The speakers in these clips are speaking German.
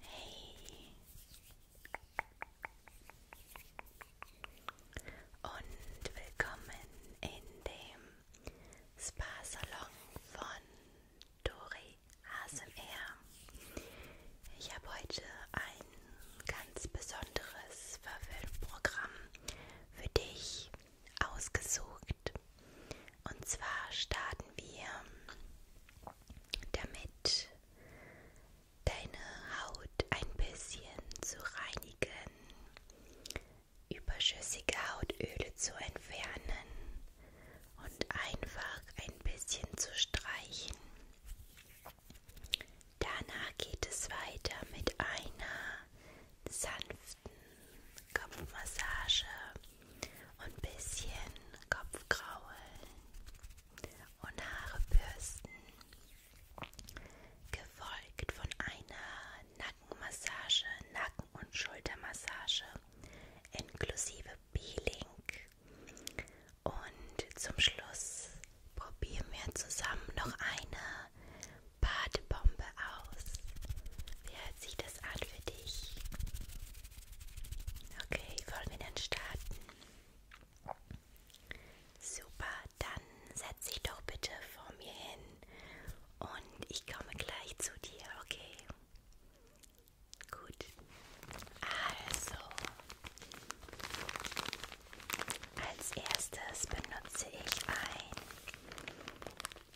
Hey und willkommen in dem Spa-Salon von Dori ASMR. Ich habe heute ein ganz besonderes Verwöhnprogramm für dich ausgesucht. Und zwar starten wir damit deine Haut ein bisschen zu reinigen, überschüssige Hautöle zu entfernen und einfach ein bisschen zu streichen. Danach geht es weiter mit einer sanften Kopfmassage und ein bisschen Kopfkraulen und Haare bürsten, gefolgt von einer Nackenmassage, Nacken- und Schultermassage inklusive Peeling. Und zum Schluss probieren wir zusammen noch eine Badebombe aus. Wie hört sich das an für dich? Okay, wollen wir dann starten? Super, dann setz dich doch bitte vor mir hin und ich komme gleich zu dir, okay? Gut. Also, als erstes benutze ich ein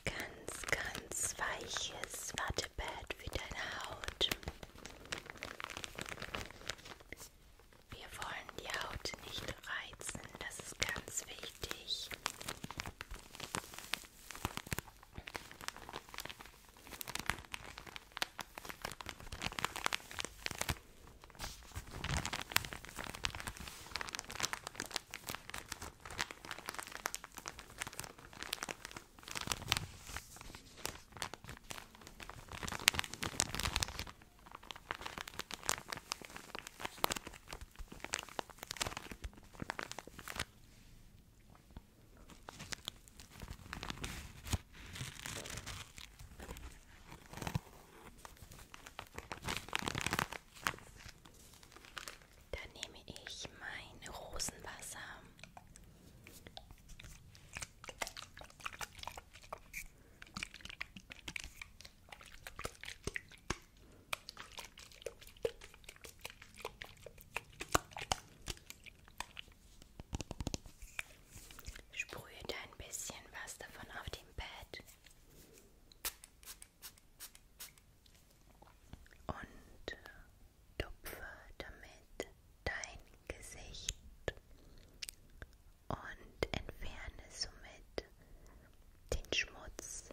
ganz, ganz weiches Wattepad für deine Haut. Wir wollen die Haut nicht reizen, das ist ganz wichtig. Dann nehme ich mein Rosenwasser Sprühe ein bisschen was davon auf dem Bett und äh, tupfe damit dein Gesicht und entferne somit den Schmutz,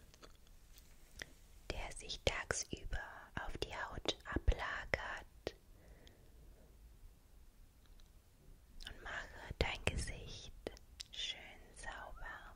der sich tagsüber auf die Haut ablagert und mache dein Gesicht schön sauber.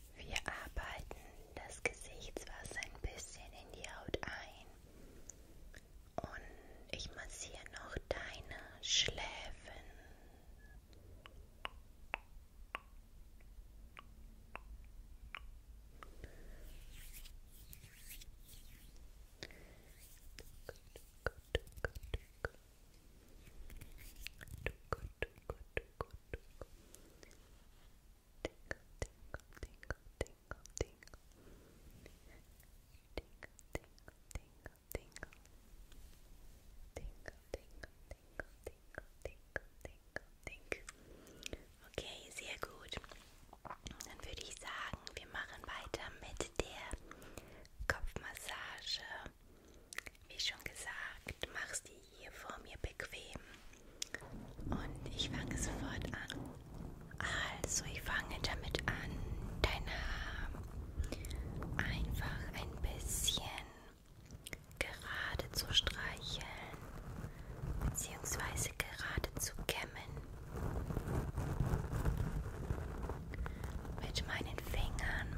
Wir arbeiten das Gesichtswasser ein bisschen in die Haut ein und ich massiere noch deine Schläfen. Tingle, tingle, tingle, tingle, tingle. Tingle, tingle, tingle, tingle. Tingle, tingle, tingle, tingle, tingle, tingle, tingle. Okay, sehr gut. Dann würde ich sagen, wir machen weiter mit der Kopfmassage. Wie schon gesagt, machst die hier vor mir bequem. Und ich fange sofort an. Also, ich fange damit an, dein Haar einfach ein bisschen gerade zu streicheln, beziehungsweise gerade zu kämmen. Mit meinen Fingern.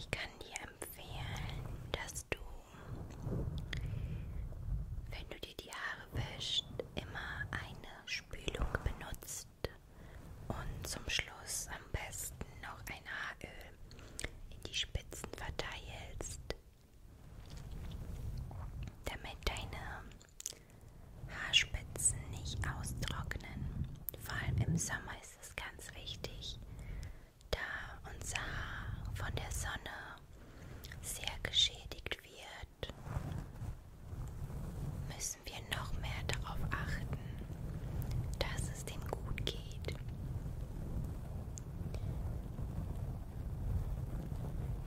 Ich kann dir empfehlen, dass du, wenn du dir die Haare wäschst, immer eine Spülung benutzt und zum Schluss am besten noch ein Haaröl in die Spitzen verteilst, damit deine Haarspitzen nicht austrocknen. Vor allem im Sommer ist es ganz wichtig, da unser Haar von der Sonne sehr geschädigt wird, müssen wir noch mehr darauf achten, dass es dem gut geht geht.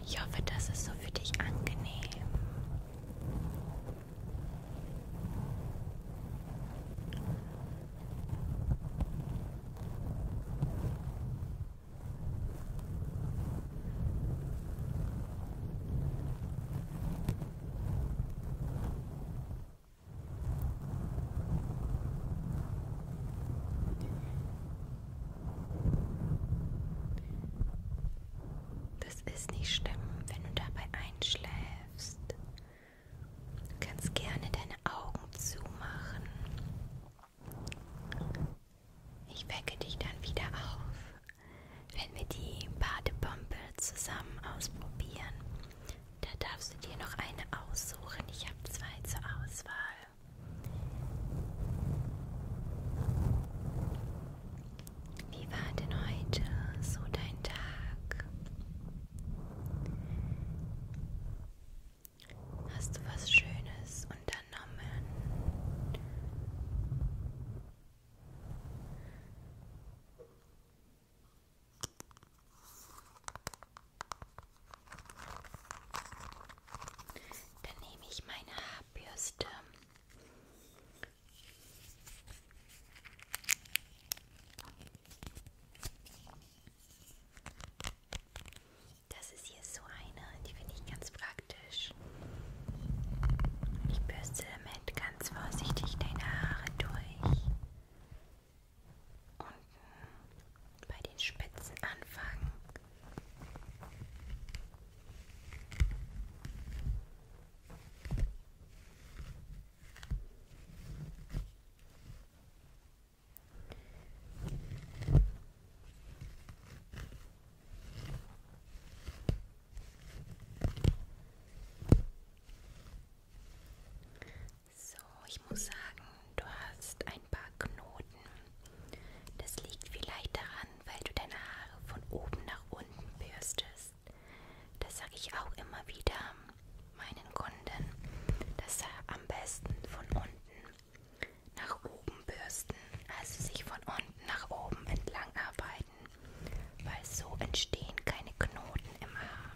Ich hoffe, das ist so für dich angenehm. Das ist nicht schlimm, wenn du dabei einschläfst. Du kannst gerne deine Augen zumachen. Ich wecke dich dann wieder auf, wenn wir die Badepumpe zusammen ausprobieren. Da darfst du dir noch eine aussuchen. Ich habe zwei zur Auswahl. Wie war denn heute so dein Tag? Hast du was Schönes unternommen? Dann nehme ich meine Haarbürste. Das ist hier so eine, die finde ich ganz praktisch. Ich bürste damit ganz vorsichtig deine Haare durch unten äh, bei den Spitzen anfangen. So, ich muss sagen, du hast ein paar Knoten. Das liegt vielleicht daran, weil du deine Haare von oben nach unten bürstest. Das sage ich auch immer wieder meinen Kunden, dass sie am besten von unten nach oben bürsten, also sich von unten nach oben entlang arbeiten, weil so entstehen keine Knoten im Haar.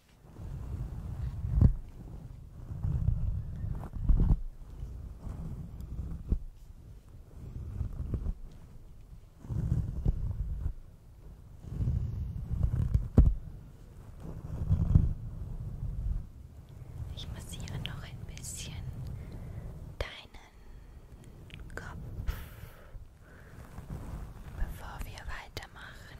Ich massiere noch ein bisschen deinen Kopf, bevor wir weitermachen.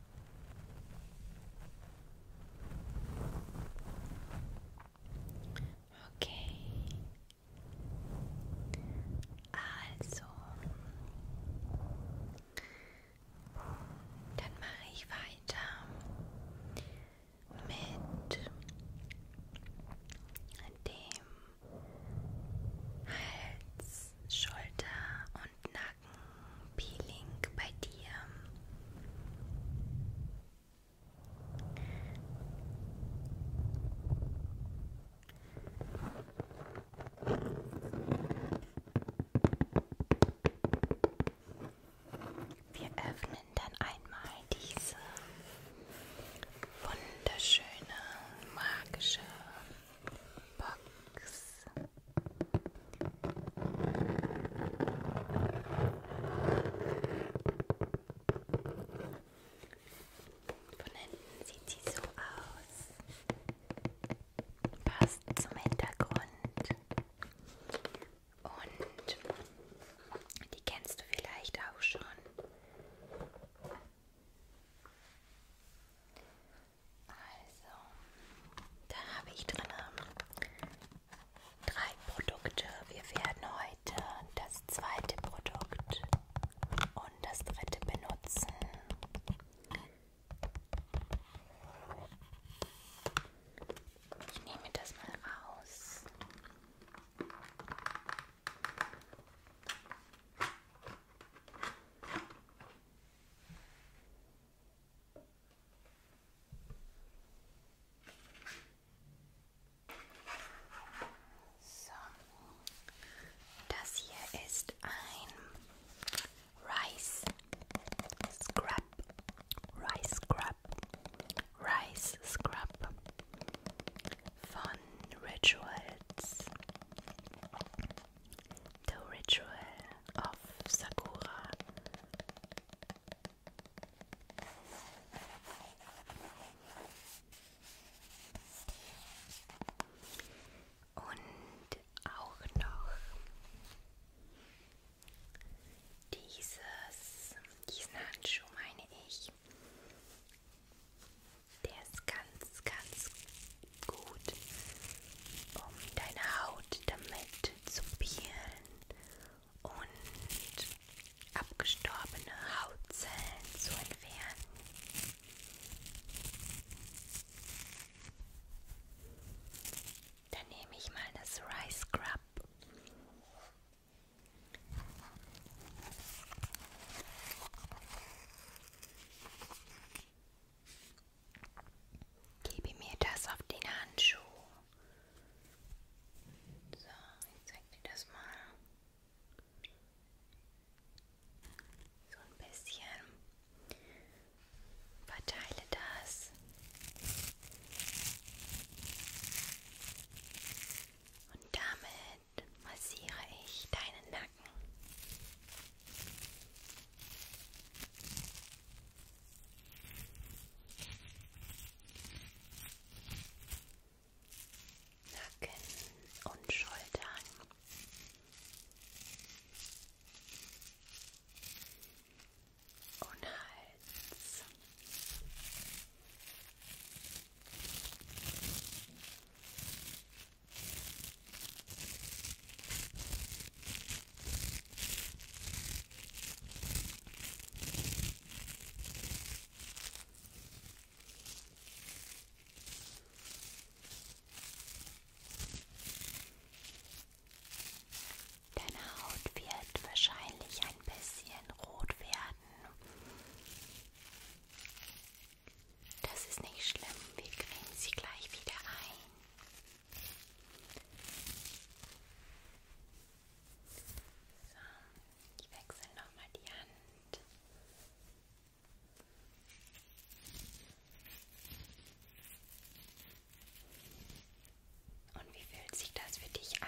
Okay. Also, dann mache ich weiter mit dem Hals, Schulter und Nacken. Peeling bei dir. Wir öffnen dann einmal diese wunderschöne magische Box. Von hinten sieht sie so aus. Passt zum Hintergrund. Und die kennst du vielleicht auch schon. Also, da habe ich drin ähm, drei Produkte. Wir werden heute das zweite Produkt und das dritte benutzen. Ich nehme das mal raus. So, das hier ist ein Rice Scrub, Rice Scrub, Rice Scrub von Rituals. The Ritual of Sakura. Und auch noch dieses, diesen Handschuh meine ich. Der ist ganz, ganz gut, um deine Haut damit zu peelen und abgestorbene Hautzellen zu entfernen. Dann nehme ich mal das Rice Scrub. Gebe mir das auf den Handschuh. So, ich zeig dir das mal. So ein bisschen. Verteile das. Und damit massiere ich deinen Nacken. Nacken und Schultern. Und Hals. Deine Haut wird wahrscheinlich ein bisschen rot werden. Das ist nicht schlimm, wir cremen sie gleich wieder ein. So, ich wechsle nochmal die Hand. Und wie fühlt sich das für dich an?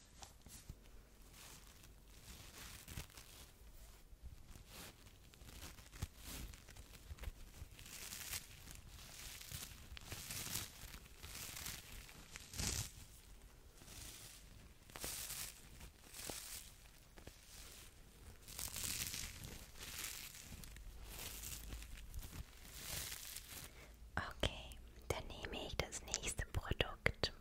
Okay, dann nehme ich das nächste Produkt.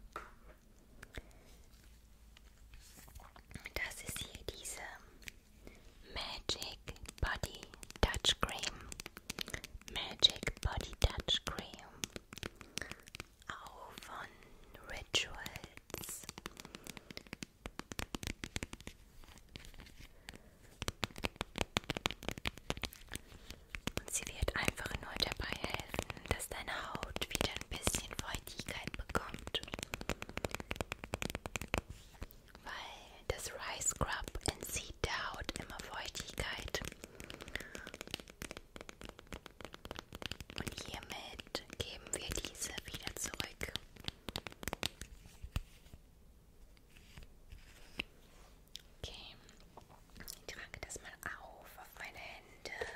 Das ist hier diese Magic Body Touch Cream. Magic Body Touch Cream. Auch von Rituals. Und sie wird einfach nur dabei helfen, dass deine Haut wieder ein bisschen Feuchtigkeit bekommt. Weil das Rice Scrub entzieht der Haut immer Feuchtigkeit. Und hiermit geben wir diese wieder zurück. Okay, ich trage das mal auf auf meine Hände.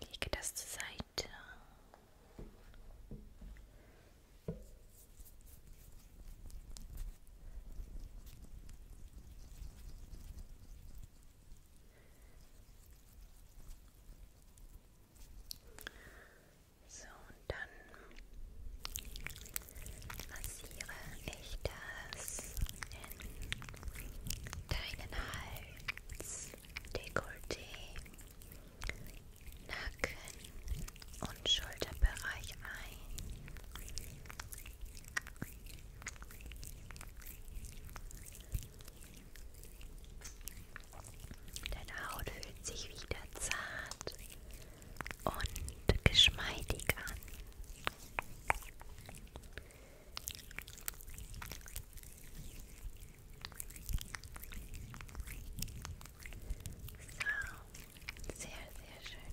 Lege das zur Seite. So, und dann Massiere ich das in deinen Hals, Dekolleté, Nacken und Schulterbereich ein. Deine Haut fühlt sich wieder zart und geschmeidig an. So, sehr, sehr schön.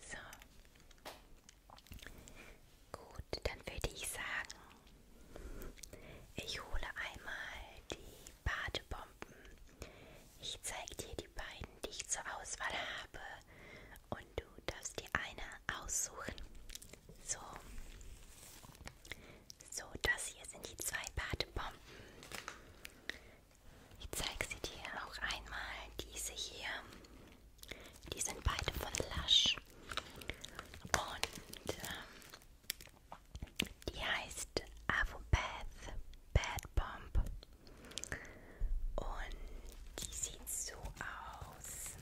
So. Gut, dann würde ich sagen, ich hole einmal die Badebomben. Ich zeige dir die beiden, die ich zur Auswahl habe. Und du darfst dir eine aussuchen. So. So, das hier sind die zwei Badebomben. Ich zeige sie dir auch einmal. Diese hier. Die sind beide von Lush. Und ähm, die heißt Avopath Bad Bomb. Und die sieht so aus.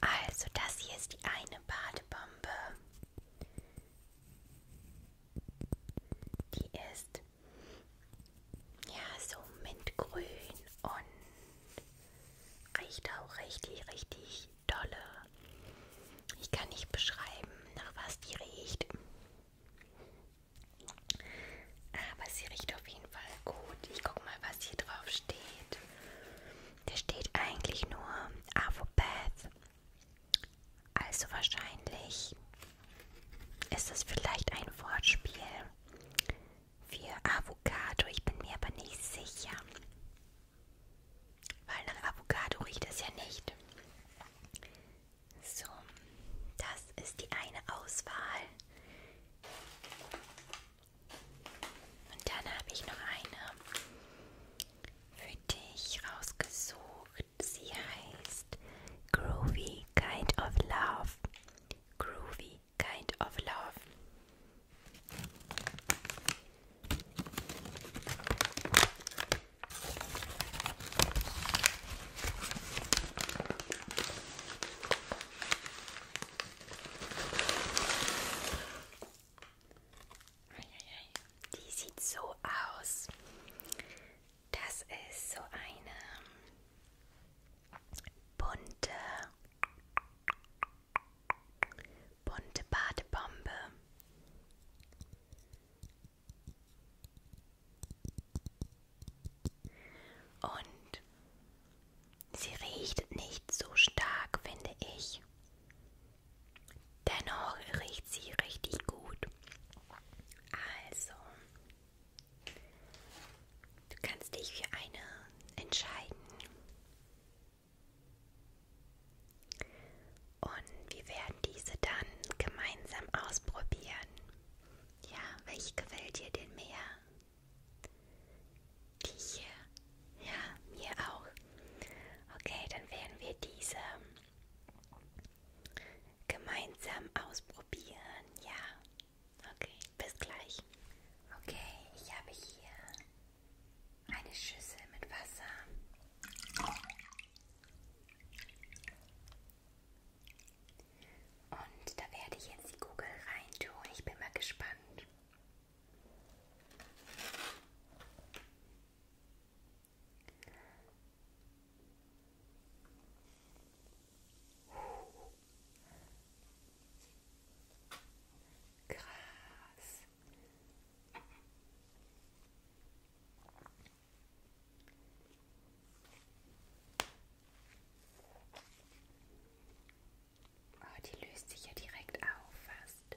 Also das hier ist die eine Badebombe. Die ist ja so mintgrün und Riecht auch richtig, richtig dolle. Ich kann nicht beschreiben, nach was die riecht. Aber sie riecht auf jeden Fall gut. Ich guck mal, was hier drauf steht. Da steht eigentlich nur Avopath. Also wahrscheinlich ist es vielleicht ein Wortspiel für Avocado. Ich bin mir aber nicht sicher. Weil nach Avocado riecht es ja nicht. So, das ist die eine Auswahl. Und dann habe ich noch eine für dich rausgesucht. Sie heißt Groovy Kind of Love. Groovy kind of love. Die sieht so aus. Das ist so eine bunte Bunte Badebombe. Und sie riecht nicht so stark, finde ich. Dennoch riecht sie richtig gut. Also, du kannst dich für eine entscheiden. Und wir werden diese dann gemeinsam ausprobieren. Ja, welche gefällt dir denn mehr? Die hier? Ja, mir auch. Okay, dann werden wir diese gemeinsam ausprobieren. Ja. Okay, bis gleich. Okay, ich habe hier eine Schüssel mit Wasser. Und da werde ich jetzt die Kugel reintun. Ich bin mal gespannt. Uh, Krass. Oh, die löst sich ja direkt auf fast.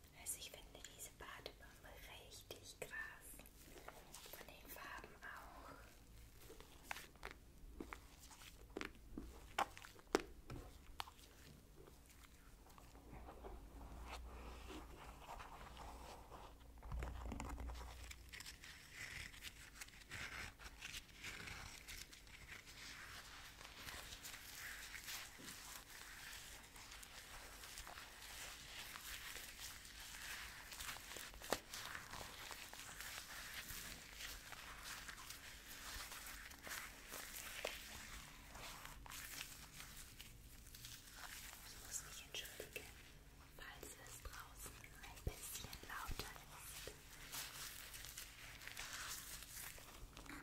Also ich finde diese Badebombe richtig krass. Von den Farben auch. Ich muss mich entschuldigen, falls es draußen ein bisschen lauter ist.